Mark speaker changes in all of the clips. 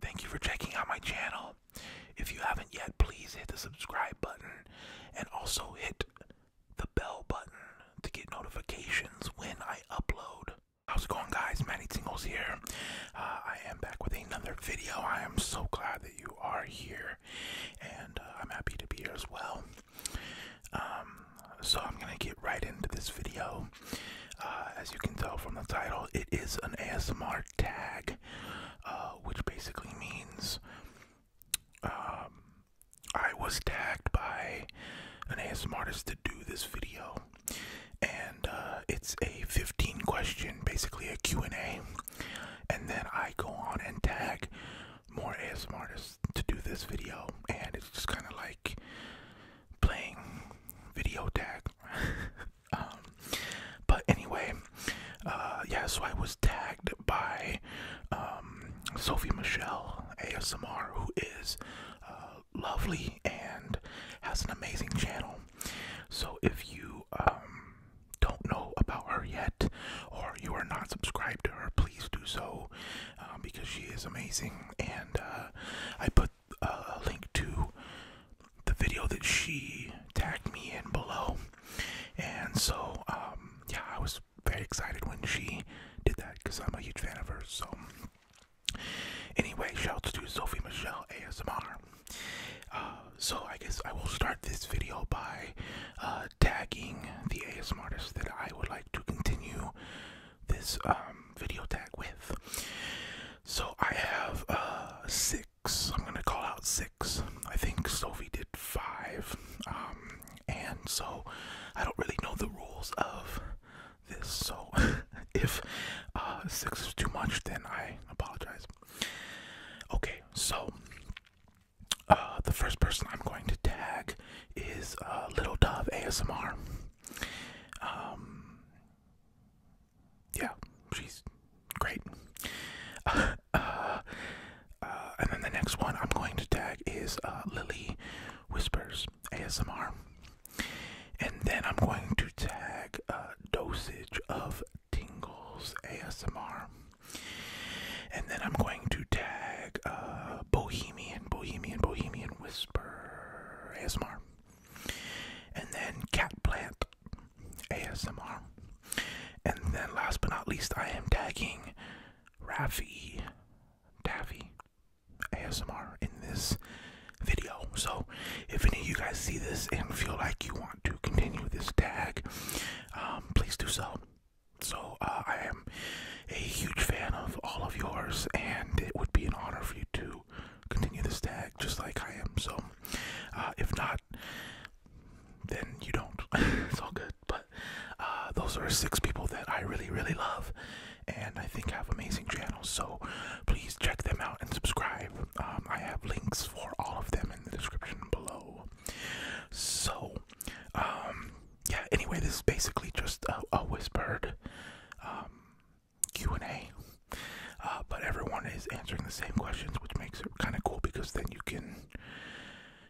Speaker 1: Thank you for checking out my channel. If you haven't yet, please hit the subscribe button and also hit the bell button to get notifications when I upload. How's it going, guys? Manny Tingles here. Uh, I am back with another video. I am so glad you are here, and uh, I'm happy to be here as well. Um, so I'm gonna get right into this video. Uh, as you can tell from the title, it is an ASMR tag, uh, which basically means um, I was tagged by an ASMR artist to do this video, and uh, it's a 15 question, basically a Q&A and then I go on and tag more ASMR artists to do this video, and it's just kind of like playing video tag. um, but anyway, uh, yeah, so I was tagged by um, Sophie Michelle ASMR, who is uh, lovely and has an amazing channel. So if you um, don't know about her yet, or you are not subscribed to her, please do so um, because she is amazing. And uh, I put uh, a link to the video that she tagged me in below. And so, um, yeah, I was very excited when she did that because I'm a huge fan of hers. So, anyway, shout shouts to Sophie Michelle ASMR. Uh, so I guess I will start this video by uh, tagging the ASM artist that I would like to continue this um, video tag with. So I have uh, six. I'm gonna call out six. I think Sophie did five, um, and so I don't really know the rules of this. So if six is too much, then I apologize. Okay, so uh, the first person I'm going to tag is uh, Little Dove ASMR. Um, yeah, she's great. Uh, and then the next one I'm going to tag is Lily Whispers ASMR. And then I'm going to tag uh, Dosage of Tingles ASMR. And then I'm going to tag uh, Bohemian, Bohemian, Bohemian Whisper ASMR. And then Cat Plant ASMR. And then last but not least, I am tagging Rafi Taffy ASMR in this video. So if any of you guys see this and feel like you want to continue this tag, um, please do so. So uh, I am a huge fan of all of yours, and it would be an honor for you to continue this tag just like I am. So uh, if not, then you don't. it's all good. But uh, those are six people that I really, really love, and I think have amazing channels. So please check them out and subscribe. Um, I have links for all of them in the description below. So, um, yeah. Anyway, this is basically just a, whispered um, Q and A, uh, but everyone is answering the same questions, which makes it kind of cool because then you can,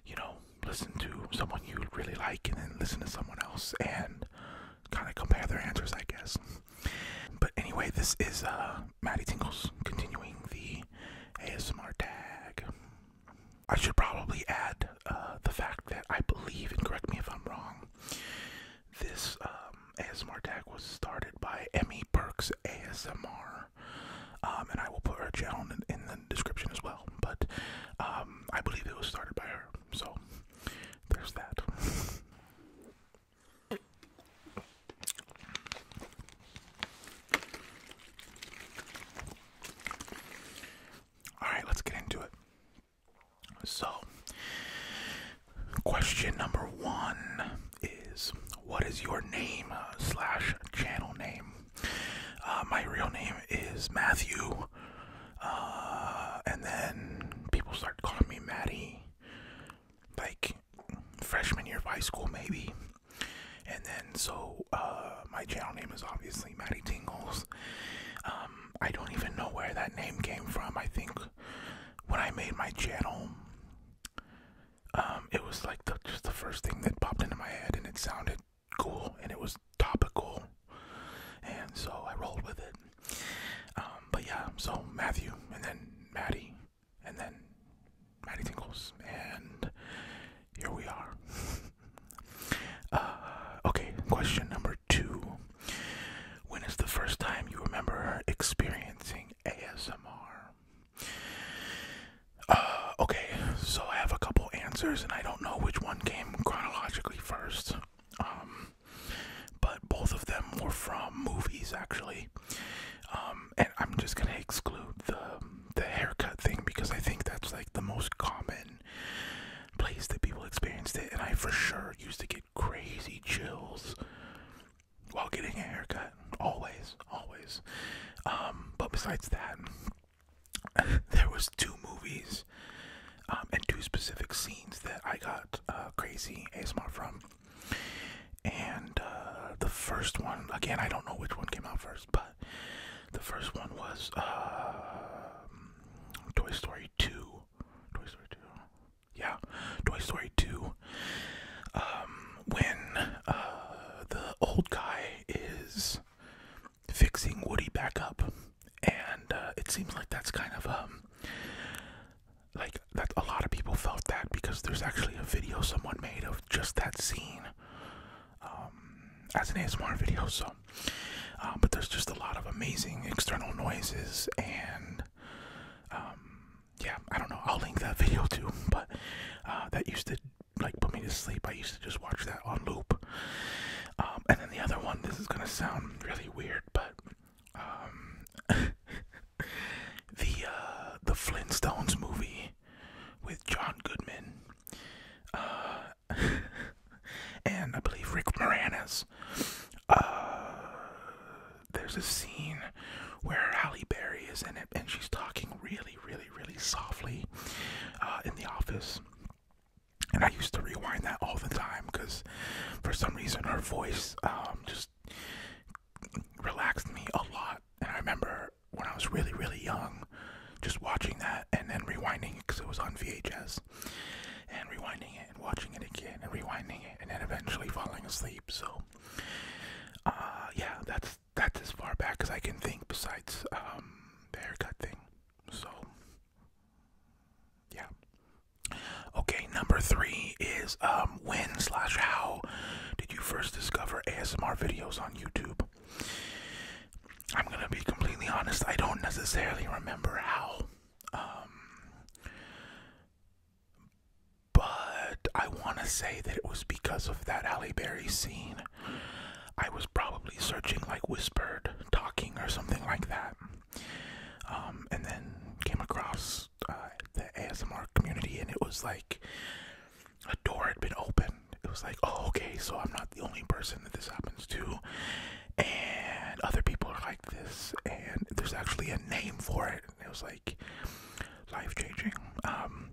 Speaker 1: you know, listen to someone you really like, and then listen to someone else and kind of compare their answers, I guess. But anyway, this is uh, Maddie Tingles continuing the ASMR tag. I should probably add uh, the fact that I believe, and correct me if I'm wrong, this um, ASMR tag was started by Emmy Perks ASMR, um, and I will put her channel in, in the description as well. But um, I believe it was started by her, so there's that. All right, let's get into it. So, question number one is What is your name uh, slash channel name? Uh, my real name is Matthew. Uh, and then people start calling me Maddie. Like, freshman year of high school, maybe. And then, so uh, my channel name is obviously Maddie Tingles. Um, I don't even know where that name came from. I think when I made my channel, um, it was like the, just the first thing that popped into my head, and it sounded cool and it was topical, and so I rolled with it. Um, but yeah, so Matthew and then Maddie and then Maddie Tinkles, and here we are. Uh, okay, question number two. When is the first time you remember experiencing ASMR? Uh, okay, so I have a couple answers, and I don't know which one came chronologically first. Um, but both of them were from movies, actually. Um, um, and I'm just gonna exclude the the haircut thing because I think that's like the most common place that people experienced it, and I for sure used to get crazy chills while getting a haircut. Always, always. Um, but besides that, there was two movies um, and two specific scenes that I got uh, crazy ASMR from. And uh, the first one, again, I don't know which one came out first, but the first one was um, Toy Story 2. Toy Story 2. Yeah, Toy Story 2. Um, when uh, the old guy is fixing Woody back up, and uh, it seems like that's kind of um, like that a lot of people felt that because there's actually a video someone made of just that scene um, as an ASMR video so uh, but there's just a lot of amazing external noises and um, yeah I don't know I'll link that video too but uh, that used to like put me to sleep I used to just watch that on loop um, and then the other one this is gonna sound really weird but um, the uh, the Flintstones movie with John Goodman, uh, and I believe Rick Moranis. Uh, there's a scene where Halle Berry is in it, and she's talking really, really, really softly in the office. And I used to rewind that all the time because, for some reason, her voice um, just relaxed me a lot. And I remember when I was really, really young, just watching that and then rewinding it because it was on VHS, and rewinding it and watching it again and rewinding it and then eventually falling asleep. So, uh, yeah, that's that's as far back as I can think. Besides um, the haircut thing, so yeah. Okay, number three is um when slash how did you first discover ASMR videos on YouTube? I'm gonna be completely honest. I don't necessarily remember how, um, but I want to say that it was because of that Halle Berry scene. I was probably searching like whispered talking or something like that, um, and then came across uh, the ASMR community, and it was like a door had been opened. It was like, oh, okay, so I'm not the only person that this happens to, and other people are like this, and there's actually a name for it. it was like life changing. Um,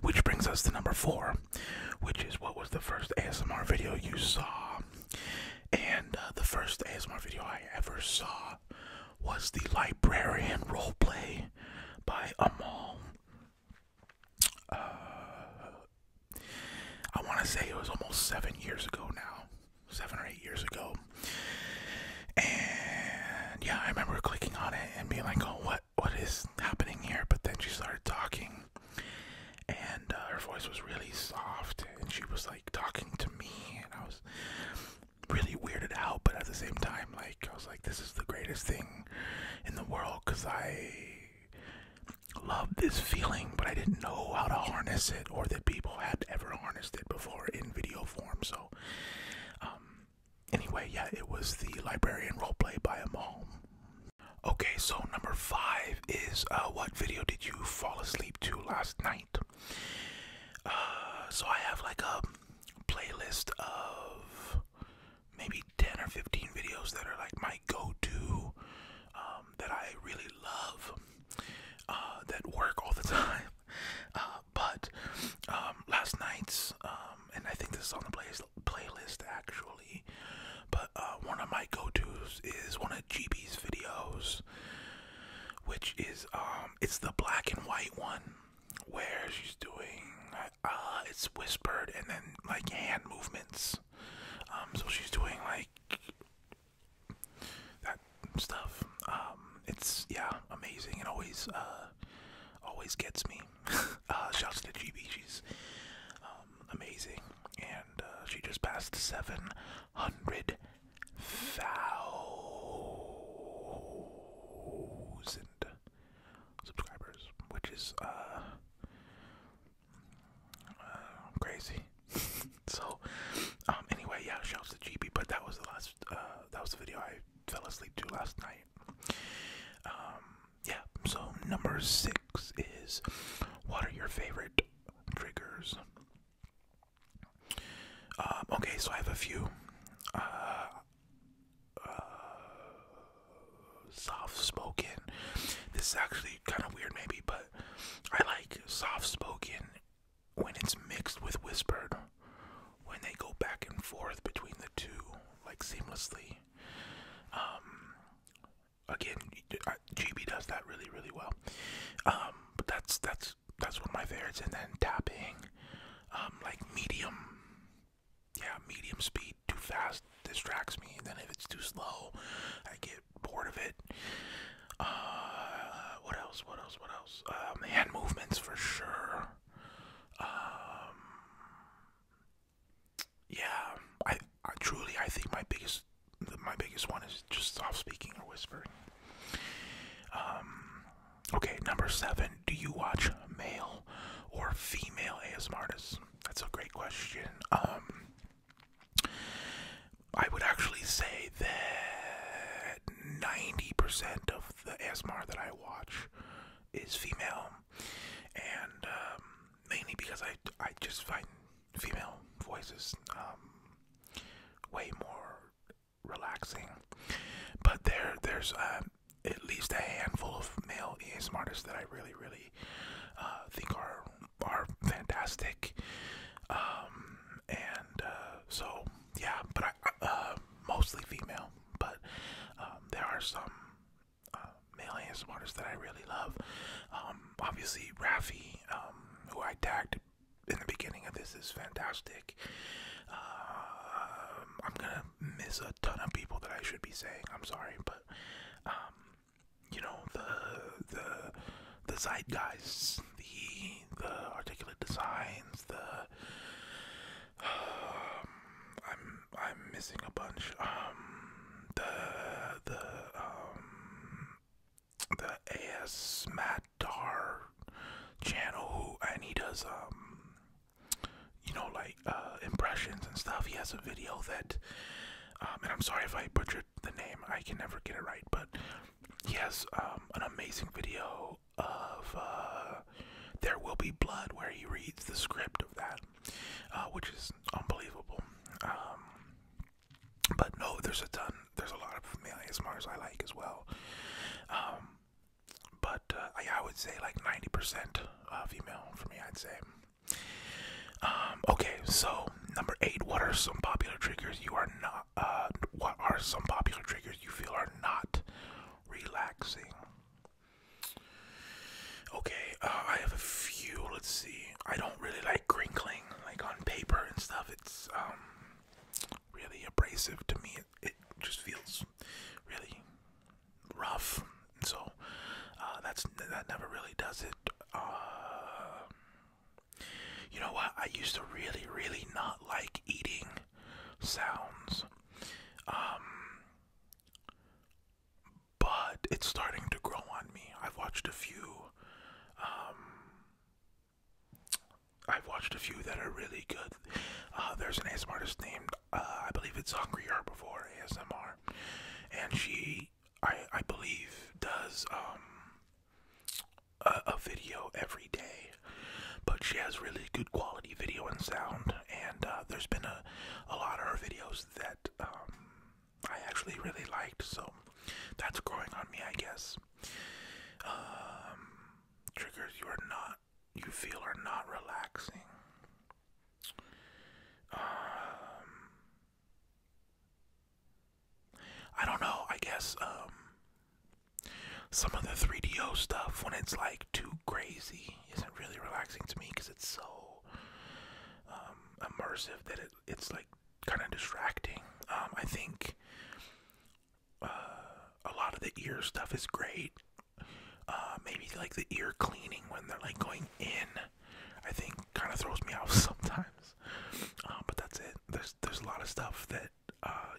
Speaker 1: which brings us to number four, which is what was the first ASMR video you saw? And uh, the first ASMR video I ever saw was the librarian roleplay by Amal. Uh, I want to say it was almost seven years ago now, seven or eight years ago. And yeah, I remember clicking on it and being like, "Oh, what, what is happening here?" But then she started talking, and uh, her voice was really soft, and she was like talking to me, and I was, really weirded out, but at the same time, like I was like, this is the greatest thing in the world because I love this feeling, but I didn't know how to harness it or that people had ever harnessed it before in video form. So, um, anyway, yeah, it was the librarian role play by a mom. Okay, so number five is uh, what video did you fall asleep to last night? Uh, so I have like a playlist of maybe 10 or 15 videos that are like my go to, um, that I really love, uh, that work all the time. Uh, but um, last night's, um, and I think this is on the play playlist actually, but uh, one of my go tos is one of GB's videos, which is um, it's the black and white one where she's doing uh it's whispered and then like hand movements. Um so she's doing like that stuff. Um it's yeah, amazing. It always uh always gets me. uh shouts to GB, she's um, amazing. And uh, she just passed seven hundred thousand subscribers, which is uh, uh crazy. so, um, anyway, yeah, shouts to GB, but that was the last, uh, that was the video I fell asleep to last night. Um, yeah, so number six is what are your favorite triggers? Um, okay, so I have a few uh, uh, soft-spoken. This is actually kind of weird, maybe, but I like soft-spoken when it's mixed with whispered. When they go back and forth between the two, like seamlessly. Um, again, GB does that really, really well. Um, but that's that's that's one of my favorites. And then tapping, um, like medium, yeah, medium speed. Too fast distracts me. then if it's too slow, I get bored of it. Uh, what else? What else? What else? Um, hand movements for sure. Um, yeah, I, I truly I think my biggest my biggest one is just soft speaking or whispering. Um, Okay, number seven. Do you watch male or female ASM artists? That's a great question. Um, I would actually say that 90% of the ASMR that I watch is female, and um, mainly because I, I just find female voices um, way more relaxing. But there, there's uh, at least a handful of male ASM artists that I really, really uh, think are are fantastic. Um, and uh, so, yeah, but I, mostly female. But um, there are some male ASM artists that I really love. Um, obviously, Rafi, who I tagged in the beginning of this is fantastic. Um, I'm gonna miss a ton of people that I should be saying. I'm sorry, but um, you know the the the zeitgeists, the the articulate designs, the um, I'm I'm missing a bunch. Um, the the um the AS Matar channel who and he does um you know like uh impressions and stuff. He has a video that um and I'm sorry if I butchered the name. I can never get it right, but he has um, an amazing video of uh There Will Be Blood where he reads the script of that uh which is unbelievable. Um but no, there's a ton. There's a lot of male I like as well. Um, but uh, I, would say like 90% uh, female for me, I'd say. Um, okay, so number eight, what are some popular triggers you are not, uh, what are some popular triggers you feel are not relaxing? Okay, uh, I have a few, let's see. I don't really like crinkling, like on paper and stuff. It's, um, really abrasive to me. It, just feels really rough. so uh, that's that never really does it. Uh, you know what? I used to really, really not like eating sounds. Um, but it's starting to grow on me. I've watched a few um, I've watched a few that are really good. Uh, there's an ASMR artist named, uh, I believe it's Hungry before ASMR, and she, I, I believe, does um a, video every day. But she has really good quality video and sound, and uh, there's been a, a lot of her videos that um, I actually really liked. So that's growing on me, I guess. Um, triggers you are not you feel are not relaxing. Um, I don't know. I guess um, some of the 3DO stuff when it's like too crazy isn't really relaxing to me because it's so um, immersive that it, it's like kind of distracting. Um, I think uh, a lot of the ear stuff is great. Uh, maybe like the ear cleaning when they're like going in, I think kind of throws me off sometimes. Uh, but that's it. There's there's a lot of stuff that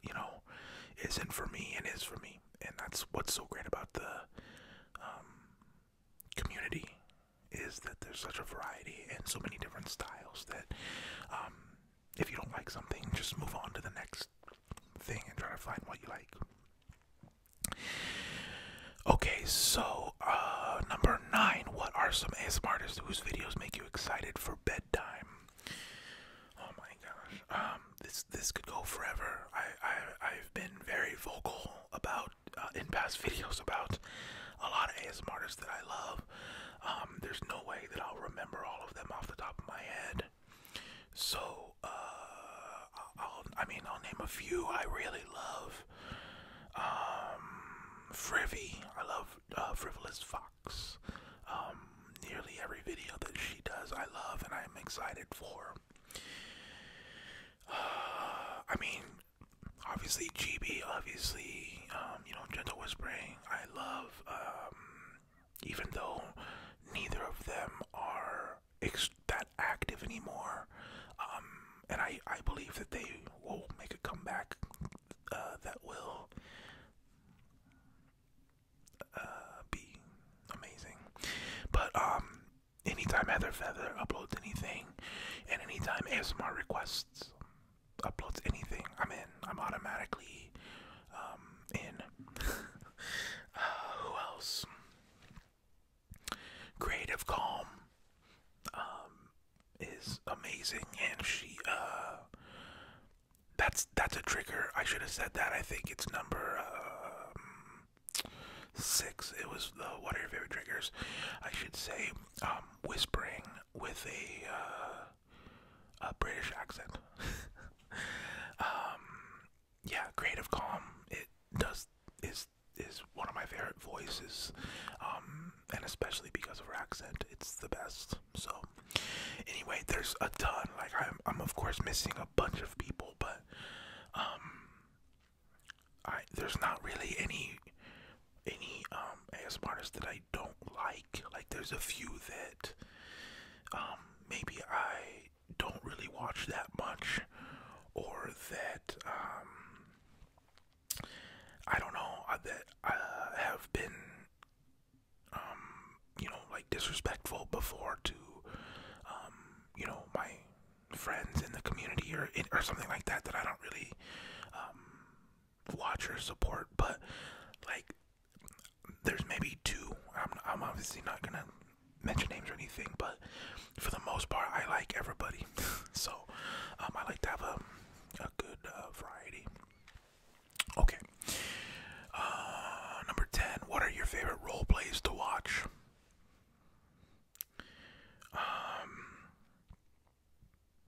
Speaker 1: you know isn't for me and is for me, and that's what's so great about the um, community is that there's such a variety and so many different styles that um, if you don't like something, just move on to the next thing and try to find what you like. Okay, so uh, number nine, what are some ASMR artists whose videos make you excited for bedtime? Oh my gosh, um, this this could go forever. I, I I've been very vocal about uh, in past videos about a lot of ASMR artists that I love. Um, there's no way that I'll remember all of them off the top of my head. So, uh, I'll, I mean, I'll name a few I really love. Um, I love uh, Frivolous Fox. Um, nearly every video that she does, I love and I'm excited for. I mean, obviously GB, obviously, um, you know, Gentle Whispering, I love, even though neither of them are that active anymore. Um, and I, I believe that they will make a comeback uh, that will uh, be amazing. But um, anytime Heather Feather uploads anything, and anytime ASMR requests uploads anything, I'm in. I'm automatically um, in. Uh, who else? Creative Calm um, is amazing, and she uh, that's that's a trigger. I should have said that. I think it's number um, six. It was the what are your favorite triggers? I should say um, whispering with a uh, a British accent. Um, yeah, Creative Calm. It does is is one of my favorite voices, um, and especially because of her accent, it's the best. So, anyway, there's a ton. Like I'm, I'm of course missing a bunch of people, but um, there's not really any any um ASMRs that I don't like. Like there's a few that um, maybe I don't really watch that much or that um, I don't know uh, that I uh, have been um, you know like disrespectful before to you know my friends in the community or or something like that that I don't really watch or support but like there's maybe two. I'm, I'm obviously not gonna mention names or anything, but for the most part, I like everybody. so um, I like to have a, a good uh, variety. Okay. Uh, number 10. What are your favorite role plays to watch? Um,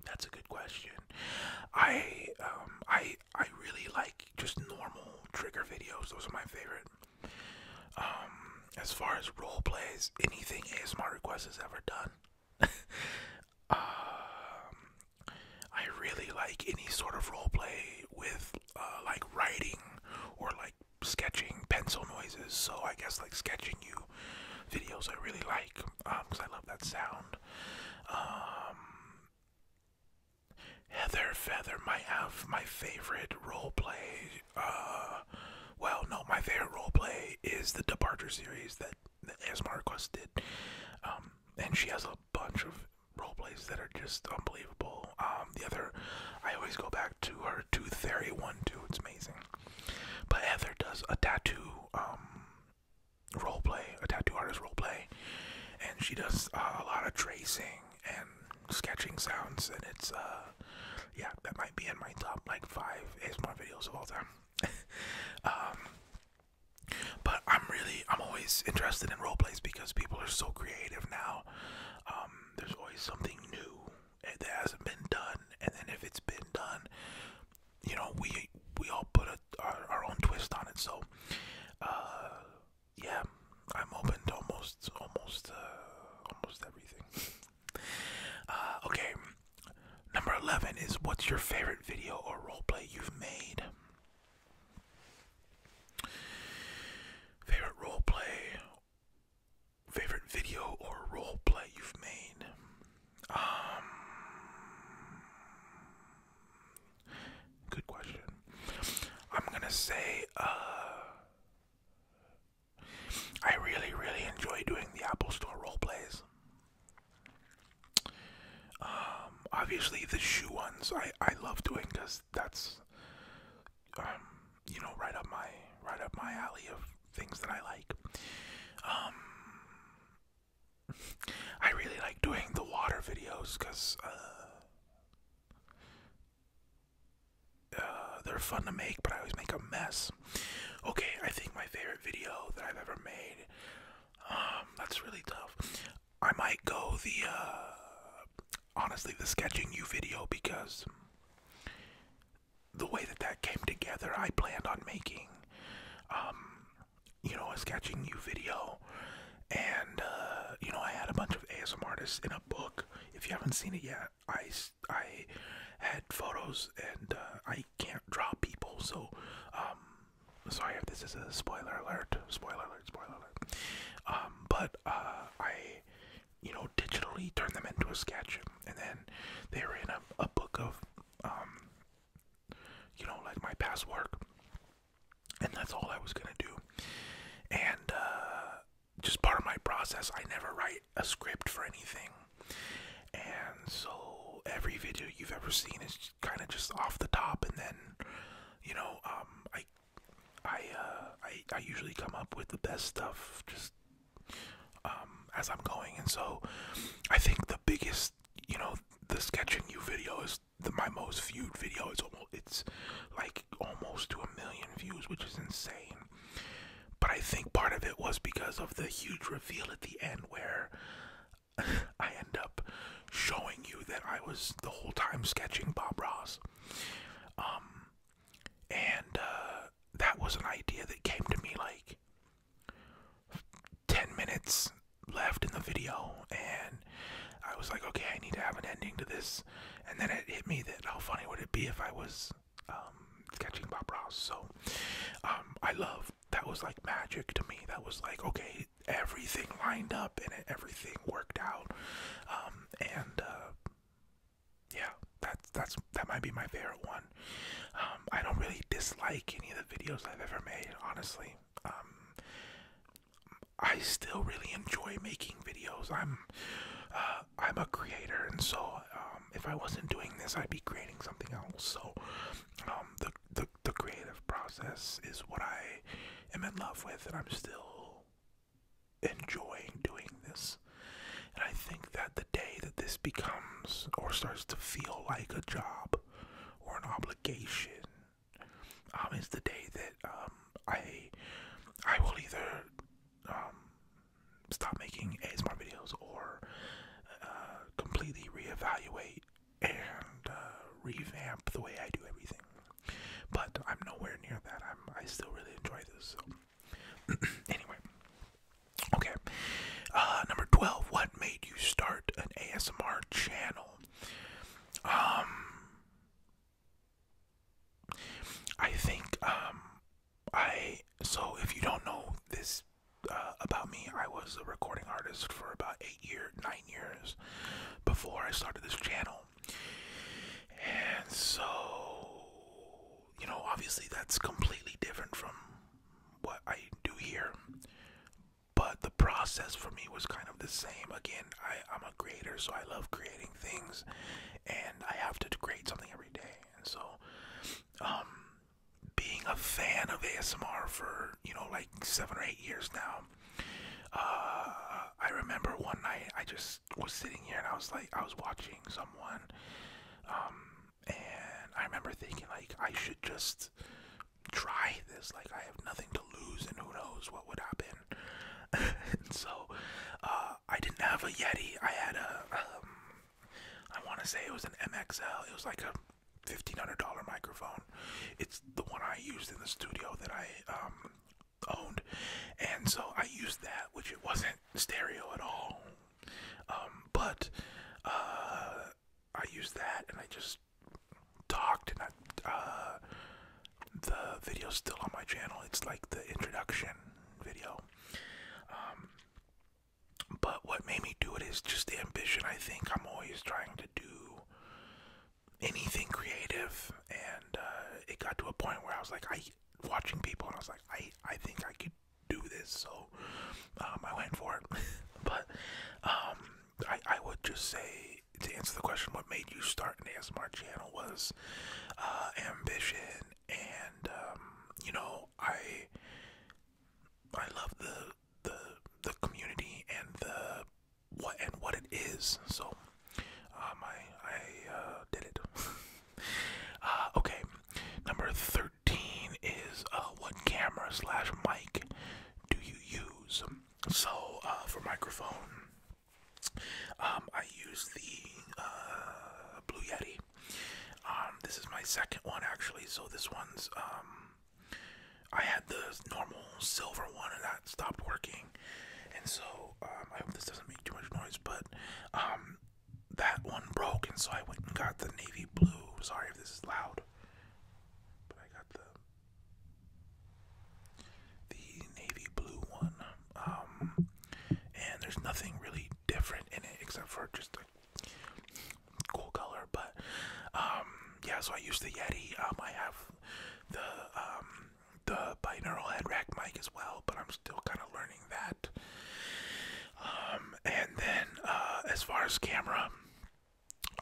Speaker 1: that's a good question. I um, I I really like just normal trigger videos. Those are my favorite. Um, as far as role plays, anything ASMR requests has ever done. Um, I really like any sort of role play with uh, like writing or like sketching pencil noises. So I guess like sketching you videos I really like because um, I love that sound. Heather Feather might uh, have my favorite roleplay. Uh, well, no, my favorite role play is the Departure series that, that ASMR did. Um, and she has a bunch of role plays that are just unbelievable. Um, the other, I always go back to her Tooth Fairy one, too. It's amazing. But Heather does a tattoo um, role play, a tattoo artist role play, and she does uh, a lot of tracing and sketching sounds, and it's uh, yeah, that might be in my top like five ASMR videos of all time. um, but I'm really, I'm always interested in role plays because people are so creative now. Um, there's always something new eh, that hasn't been done, and then if it's been done, you know, we we all put a our, our own twist on it. So, uh, yeah, I'm open to almost, almost, uh, almost everything. Uh, okay, number eleven is what's your favorite video or roleplay you've made? Favorite roleplay, favorite video or roleplay you've made? Um, Good question. I'm gonna say, uh, I really, really enjoy doing the Apple Store role plays. Um, obviously the shoe ones I I love doing because that's, um, you know, right up my right up my alley of things that I like. Um, I really like doing the water videos because uh, uh, they're fun to make, but I always make a mess. Okay, I think my favorite video that I've ever made. Um, that's really tough. I might go the uh, honestly the sketching you video because the way that that came together, I planned on making um, you know, a sketching you video. And, uh, you know, I had a bunch of ASMR artists in a book. If you haven't seen it yet, I, I had photos and uh, I can't draw people. So, um, sorry if this is a spoiler alert, spoiler alert, spoiler alert. Um, but uh, I, you know, digitally turned them into a sketch. And then they were in a, a book of, um, you know, like my past work and that's all I was gonna do. And uh, just part of my process, I never write a script for anything. And so every video you've ever seen is kind of just off the top, and then you know, um, I, I, uh, I, usually come up with the best stuff just um, as I'm going. And so I think the biggest, you know, the sketching you video is my most viewed video. is almost it's like almost to a million views, which is insane. But I think part of it was because of the huge reveal at the end where I end up showing you that I was the whole time sketching Bob Ross. Um, and uh, that was an idea that came to me like 10 minutes left in the video and I was like, okay, I need to have an ending to this. And then it hit me that how funny would it be if I was um, sketching Bob Ross. So um, I love that was like magic to me. That was like, okay, everything lined up and everything worked out. Um, and uh, yeah, that's that's that might be my favorite one. I don't really dislike any of the videos I've ever made, honestly. Um, I still really enjoy making videos. I'm uh, I'm a creator, and so um, if I wasn't doing this, I'd be creating something else. So um, the the creative process is what I am in love with, and I'm still enjoying doing this. And I think that the day that this becomes or starts to feel like a job or an obligation um, is the day that um, I I will either um, stop making ASMR videos or uh, completely reevaluate and uh, revamp the way I do everything. But I'm nowhere near that. I'm I still really enjoy this. So. anyway, okay. Uh, number twelve. What made you start an ASMR channel? Um, I think um, I so if you don't know this uh, about me, I was a recording artist for about eight years, nine years before I started this channel, and so you know, obviously that's completely different from what I do here but the process for me was kind of the same. Again, I, I'm a creator, so I love creating things, and I have to create something every day. And so, um, being a fan of ASMR for you know like seven or eight years now, uh, I remember one night I just was sitting here and I was like, I was watching someone, um, and I remember thinking like I should just try this. Like I have nothing to lose, and who knows what would happen. and so uh, I didn't have a Yeti. I had a, um, I want to say it was an MXL. It was like a fifteen hundred dollar microphone. It's the one I used in the studio that I um, owned, and so I used that, which it wasn't stereo at all. Um, but uh, I used that and I just talked and I uh the video's still on my channel. It's like the introduction video. Um but what made me do it is just the ambition. I think I'm always trying to do anything creative and uh it got to a point where I was like I watching people and I was like I I think I could do this so um I went for it. but um I, I would just say to answer the question, what made you start an ASMR channel was uh, ambition, and um, you know, I I love the the the community and the what and what it is. So um, I I uh, did it. Uh, okay, number thirteen is uh, what camera slash mic do you use? so uh, for microphone, um, I use the uh, Blue Yeti. Um, this is my second one actually. So this one's um, I had the normal silver one and that stopped working, and so um, I hope this doesn't make too much noise, but um, that one broke, and so I went and got the navy blue. Sorry if this is loud, but I got the the navy blue one. Um, and there's nothing really different in it except for just a cool color. But um, yeah, so I use the Yeti. Um, I have the the binaural head rack mic as well, but I'm still kind of learning that. and then uh, as far as camera,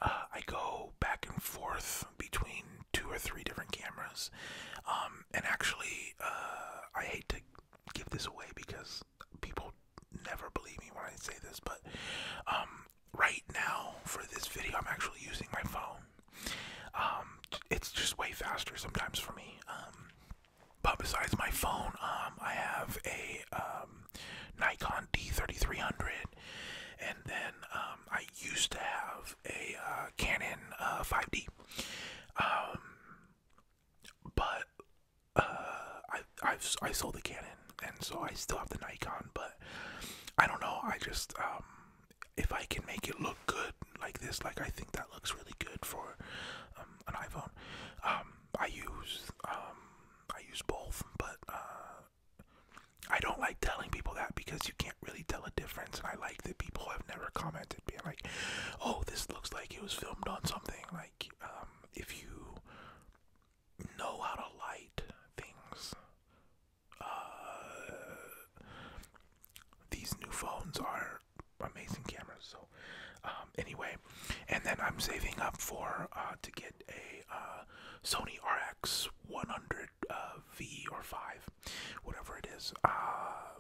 Speaker 1: uh, I go back and forth between two or three different cameras. Um, and actually, uh, I hate to give this away because people never believe me when I say this, but um, right now for this video, I'm actually using my phone. Um, it's just way faster sometimes for me. but besides my phone, I have a Nikon D3300 and then um, I used to have a uh, Canon 5D, uh, um, but uh, I i sold the Canon, and so I still have the Nikon. But I don't know. I just um, if I can make it look good like this, like I think that looks really good for an iPhone. I use I use both, but I don't like telling people that because you can't really tell a difference. And I like that people have never commented being like, "Oh, this looks like it was filmed on something." Like, um, if you know how to light things, uh, these new phones are amazing cameras. So, um, anyway, and then I'm saving up for uh, to get a uh, Sony RX 100 uh, V or 5, whatever it is. Uh,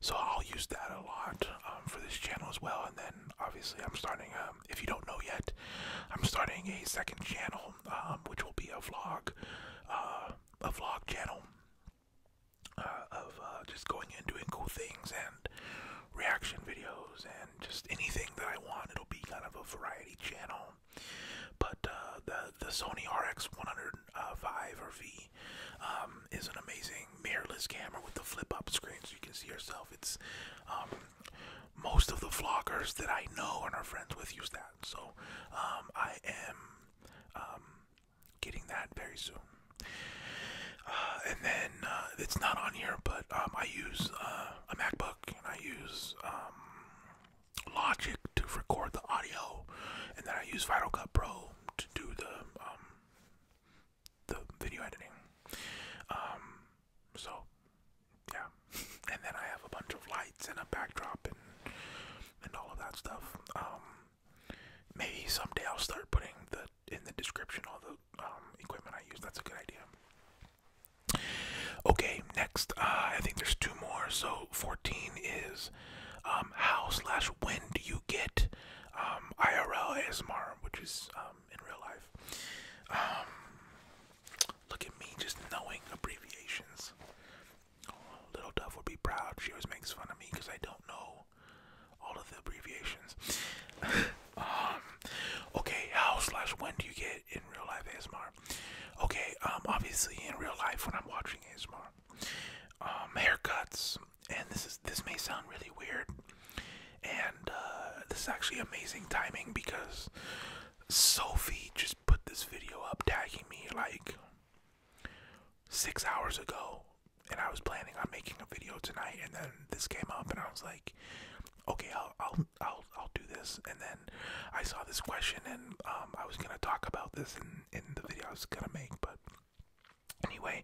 Speaker 1: so I'll use that a lot um, for this channel as well. And then obviously I'm starting, um, if you don't know yet, I'm starting a second channel, um, which will be a vlog, a vlog channel. of just going and doing cool things and reaction videos and just anything that I want. It'll be kind of a variety channel. But uh, the the Sony RX105 or V um, is an amazing mirrorless camera with the flip-up screen, so you can see yourself. It's um, most of the vloggers that I know and are friends with use that. So um, I am getting that very soon. Uh, and then uh, it's not on here, but I use a MacBook and I use um, Logic to record the audio, and then I use Final Cut Pro to do the um, the video editing. Um, so yeah, and then I have a bunch of lights and a backdrop and and all of that stuff. maybe someday I'll start putting the in the description all the equipment I use. That's a good idea. Okay, next, uh, I think there's two more. So 14 is um, how slash when do you get um, IRL ASMR, which is um, in real life. look at me just knowing abbreviations. Oh, Little Dove will be proud. She always makes fun of me because I don't know all of the abbreviations. okay, how slash when do you get in real life ASMR. Okay, um, obviously in real life when I'm watching ASMR, um, haircuts, and this is this may sound really weird, and uh, this is actually amazing timing because Sophie just put this video up tagging me like six hours ago, and I was planning on making a video tonight, and then this came up, and I was like, okay, I'll I'll I'll I'll do this. And then I saw this question, and um, I was gonna talk about this in in the video I was gonna make, but anyway,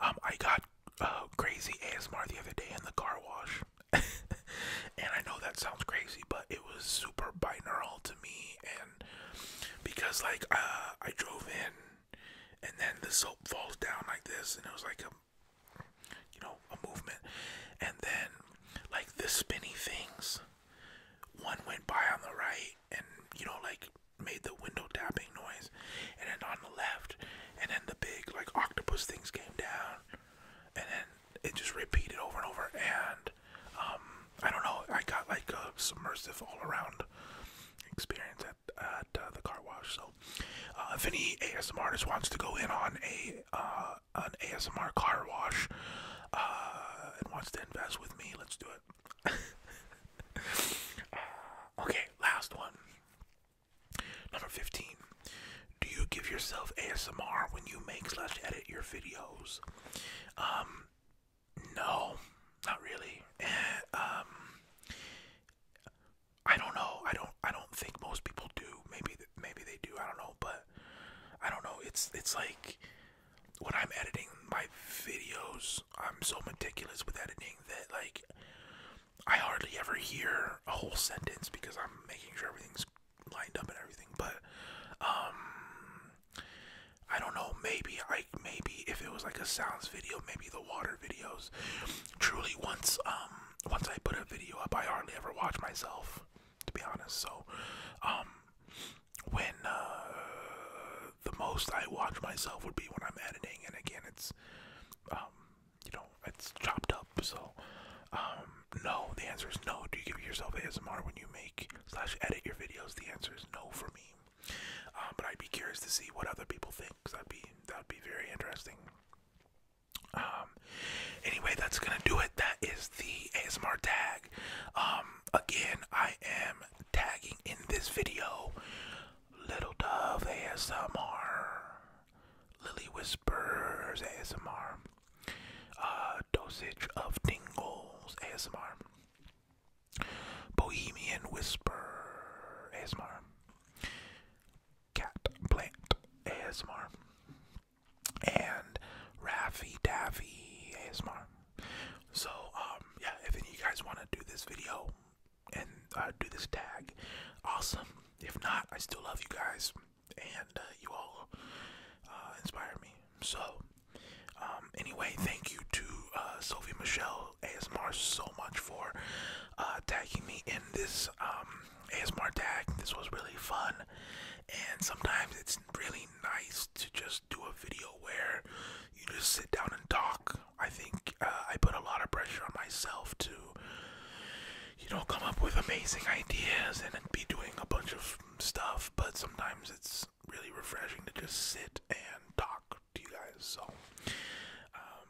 Speaker 1: um, I got uh, crazy ASMR the other day in the car wash. and I know that sounds crazy, but it was super binaural to me, and because like uh, I drove in, and then the soap falls down like this, and it was like a you know, a movement. And then, like the spinny things, one went by on the right and, you know, like made the window tapping noise. And then on the left, and then the big, like, octopus things came down. And then it just repeated over and over. And, um, I don't know, I got like a submersive all around experience at, at uh, the car wash. So, uh, if any ASM artist wants to go in on a uh, uh, an ASMR car wash uh, and wants to invest with me, let's do it. okay, last one. Number 15. Do you give yourself ASMR when you make slash edit your videos? Um, no, not really. Eh, um, I don't know. I don't. I don't think most people do. Maybe. Maybe they do. I don't know. But I don't know. It's. It's like when I'm editing my videos, I'm so meticulous with editing that like I hardly ever hear a whole sentence because I'm making sure everything's lined up and everything. But um, I don't know. Maybe I. Maybe if it was like a sounds video, maybe the water videos. Truly, once um once I put a video up, I hardly ever watch myself, to be honest. So, um, when uh, the most I watch myself would be when I'm editing, and again, it's um, you know, it's chopped up. So, um, no, the answer is no. Do you give yourself ASMR when you make slash edit your videos? The answer is no for me. but I'd be curious to see what other people think. Cause that'd be that'd be very interesting. Um, anyway, that's gonna do it. That is the ASMR tag. Um, again, I am tagging in this video Little Dove ASMR, Lily Whispers ASMR, uh, Dosage of Dingles ASMR. Bohemian Whisper ASMR Cat Plant ASMR and Raffy Daffy ASMR. So, um, yeah, if any of you guys want to do this video and uh, do this tag, awesome. If not, I still love you guys, and uh, you all uh, inspire me. So, um, anyway, thank you to uh, Sophie Michelle ASMR so much for uh, tagging me in this um, ASMR tag. This was really fun, and sometimes it's really nice to just do a video where you just sit down and talk. I think uh, I put a lot of pressure on myself to, you know, come up with amazing ideas and be doing a bunch of stuff, but sometimes it's really refreshing to just sit and talk to you guys. So, um,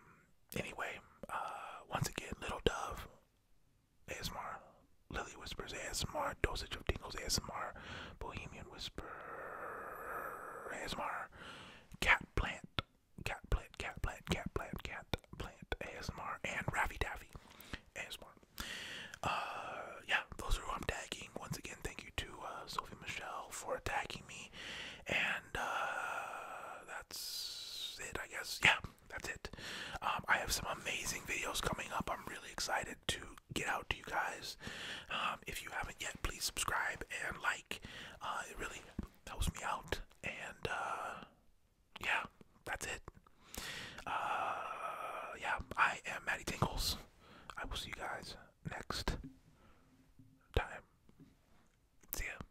Speaker 1: anyway, uh, once again, Little Dove Asmar, Lily Whispers Asmar. Dosage of Tingles Asmar. Bohemian Whisper Asmar. Cat Plant, Cat Plant, Cat Plant, Cat Plant, Cat Plant ASMR, and Ravi Davy Asmar. Uh, yeah, those are who I'm tagging. Once again, thank you to uh, Sophie Michelle for tagging me, and uh, that's it, I guess. Yeah, that's it. Um, I have some amazing videos coming up. I'm really excited to get out to you guys. Um, if you haven't yet, please subscribe and like. Uh, it really helps me out. And uh, yeah, that's it. Uh, yeah, I am Maddie Tinkles. I will see you guys next time. See ya.